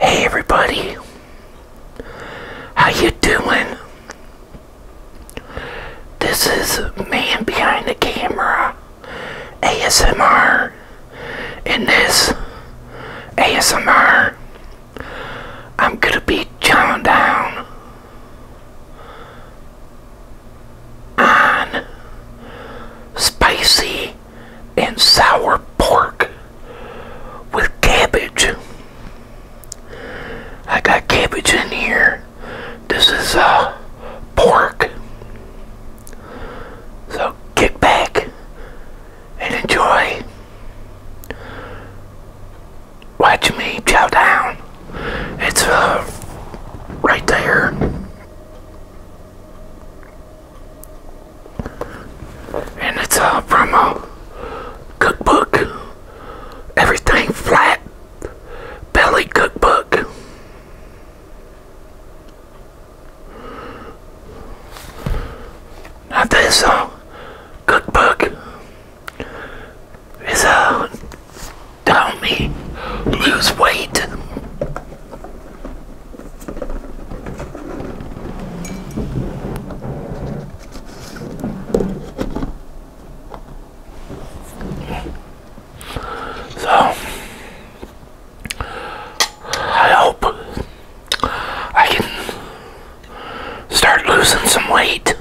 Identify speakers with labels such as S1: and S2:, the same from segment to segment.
S1: Hey everybody, how you doing? This is Man Behind the Camera ASMR. In this ASMR, I'm gonna be chowing down on spicy and sour pork with cabbage. I got cabbage in here. This is uh, pork. So get back and enjoy. Watch me chow down. It's uh, right there. And it's uh, from a cookbook. Everything flat belly cookbook. Now this uh, cookbook is uh, to me lose weight. So I hope I can start losing some weight.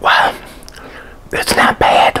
S1: Well, it's not bad.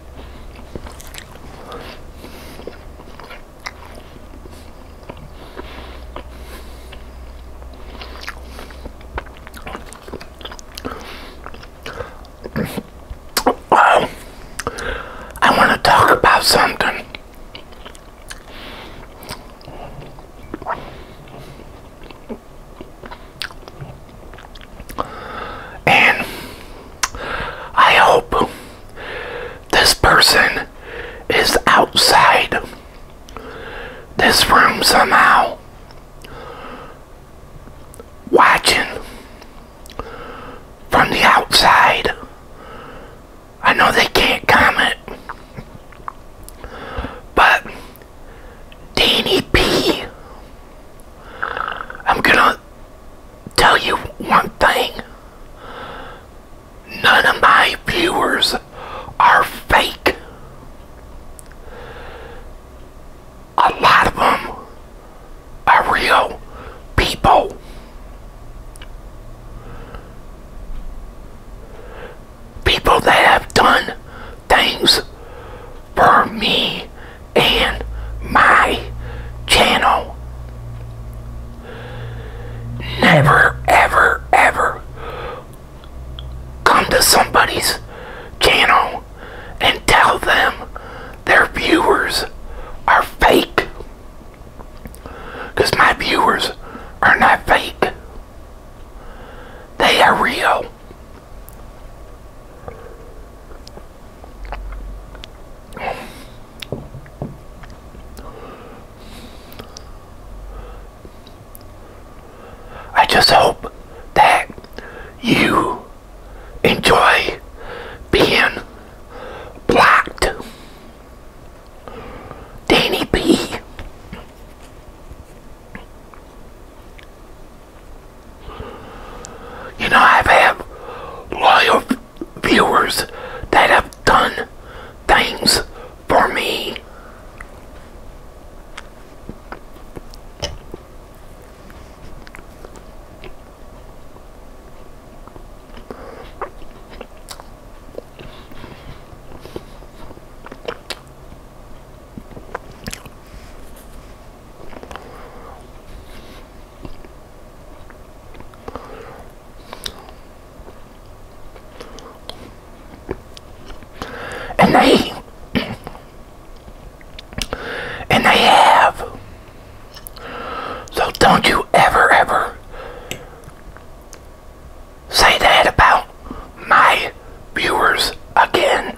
S1: Well, I want to talk about something. And I hope this person is outside this room somehow watching from the outside. I know they can't comment, but Danny P. I'm gonna tell you one thing. None of my viewers are fake. A lot of them are real people. People that have done things for me and my channel. Never, ever, ever come to somebody's channel and tell them their viewers are fake. Because my viewers are not fake. They are real. I just hope that you enjoy being blacked, Danny B. You know, I've had loyal viewers that have done things for me. And they and they have. So don't you ever ever say that about my viewers again.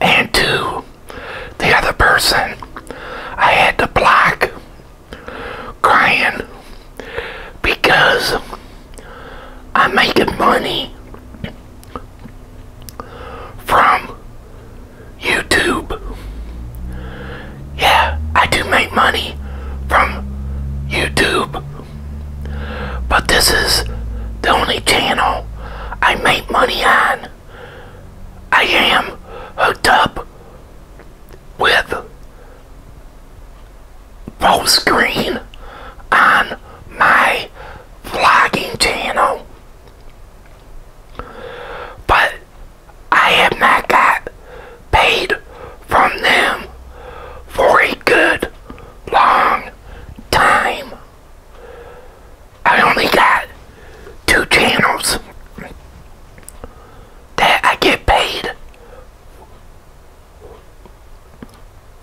S1: and to the other person I had to block crying because I'm making money from YouTube. Yeah, I do make money from YouTube, but this is the only channel I make money on. I am hooked up with both screen on my vlogging channel. But I have not got paid from them for a good long time. I only got two channels that I get paid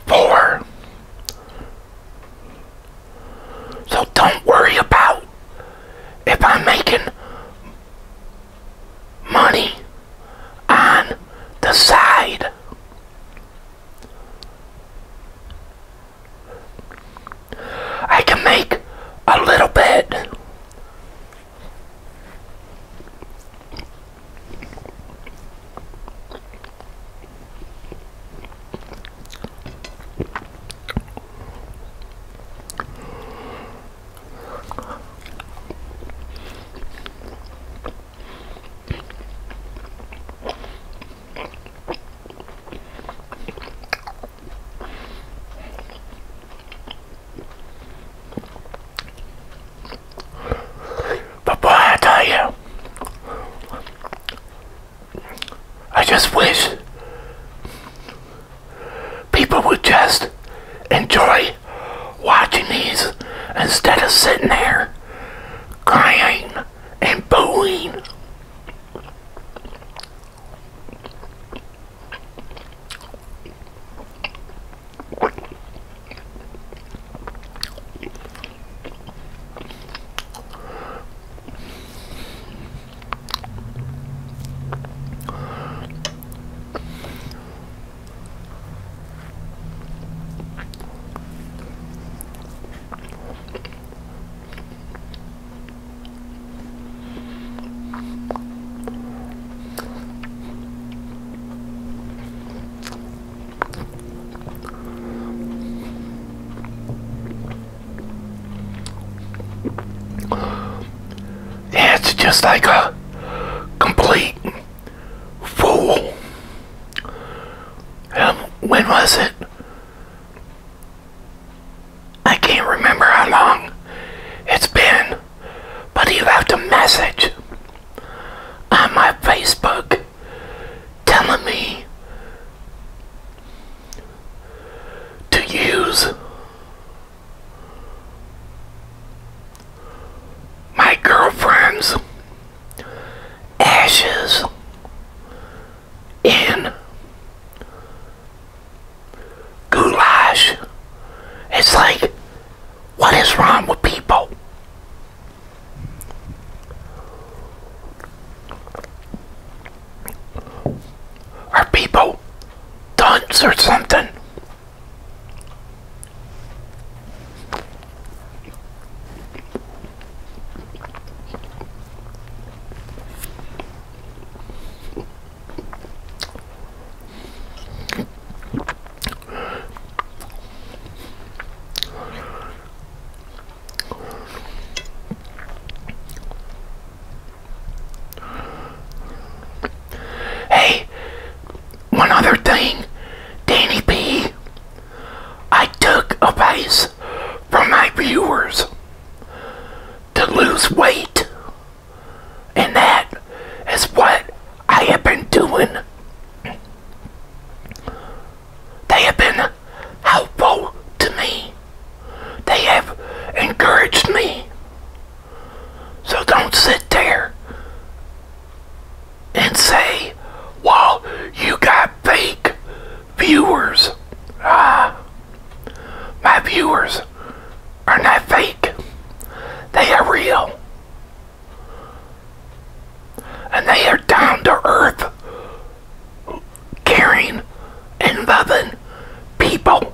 S1: for. So don't worry about if I'm making money on the side. I can make a little bit. But boy, I tell you, I just wish people would just enjoy watching these instead of sitting there crying and booing. Yeah, it's just like a complete fool. Um, when was it? I can't remember how long it's been, but he left a message on my Facebook telling me to use my girlfriend's ashes in goulash. It's like, what is wrong with people? Are people dunce or something? Hey, one other thing, Danny P I took advice from my viewers to lose weight. And that is what I have been doing. They have been helpful to me. They have encouraged me. So don't sit there and say, well, you got fake viewers. Ah, my viewers are not fake. They are real. And they are down to earth, caring and loving people.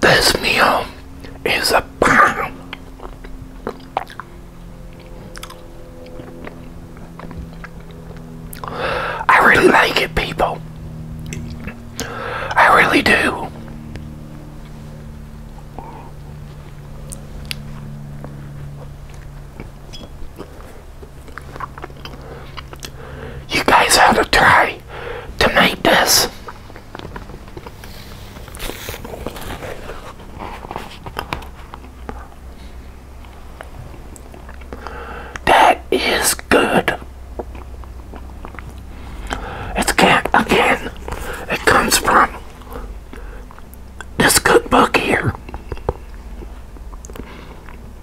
S1: This meal is a bomb. I really like it, people. I really do. You guys have to try to make this. That is good. It's can again. It comes from this cookbook here.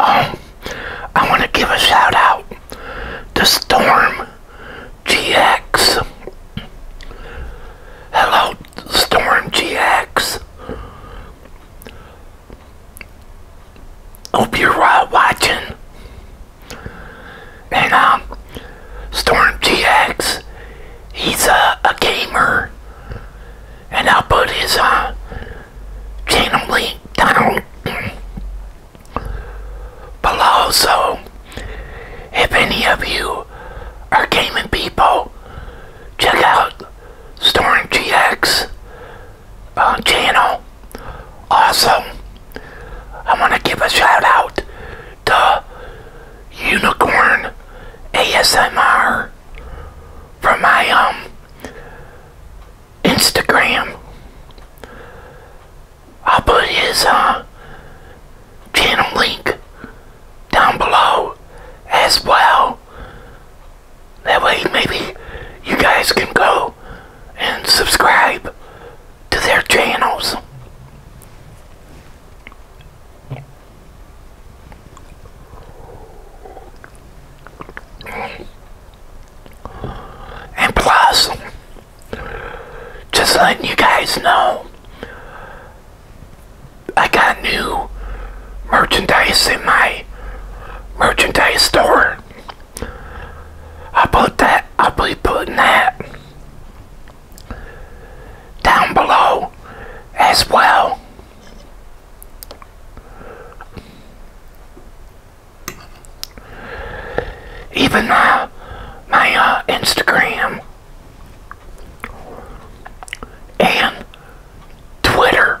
S1: Um, I want to give a shout out to Storm GX. Hello, Storm GX. Hope you're uh, watching. And um, Storm GX, he's a, gamer. And I'll put his uh, channel link down below. So if any of you are gaming people, check out Storm GX channel. awesome. I want to give a shout out to Unicorn ASMR from my um Instagram. I'll put his uh, channel link down below as well. That way maybe you guys can go and subscribe to their channels. And plus, just letting you guys know, I got new merchandise in my merchandise store. I'll put that, I'll be putting that down below as well. Even uh, my Instagram and Twitter.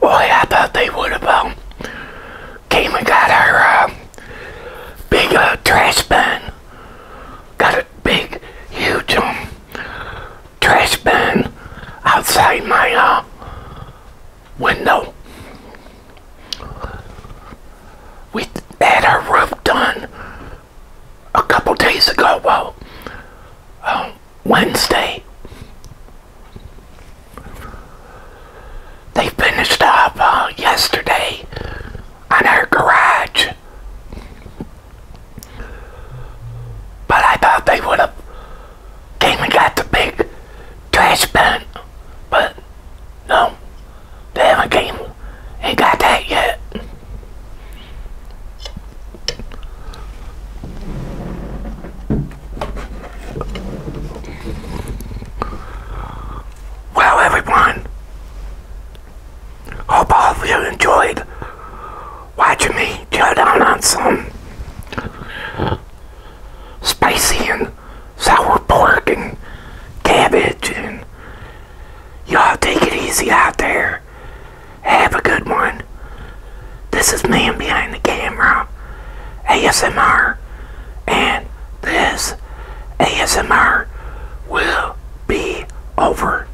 S1: Well, I thought they would have um, came and got our uh, big uh, trash bin. Got a big, huge one. Um, trash bin outside my uh, window. We had our roof done a couple days ago, well, uh, Wednesday. They finished up uh, yesterday on our garage. But I thought they would have came and got the big trash bin, but no, they haven't came Ain't got that yet. Well, everyone, hope all of you enjoyed watching me chow down on some spicy and sour pork and cabbage and y'all take it easy out there. Have a good one. This is man behind the camera, ASMR, and this ASMR will be over.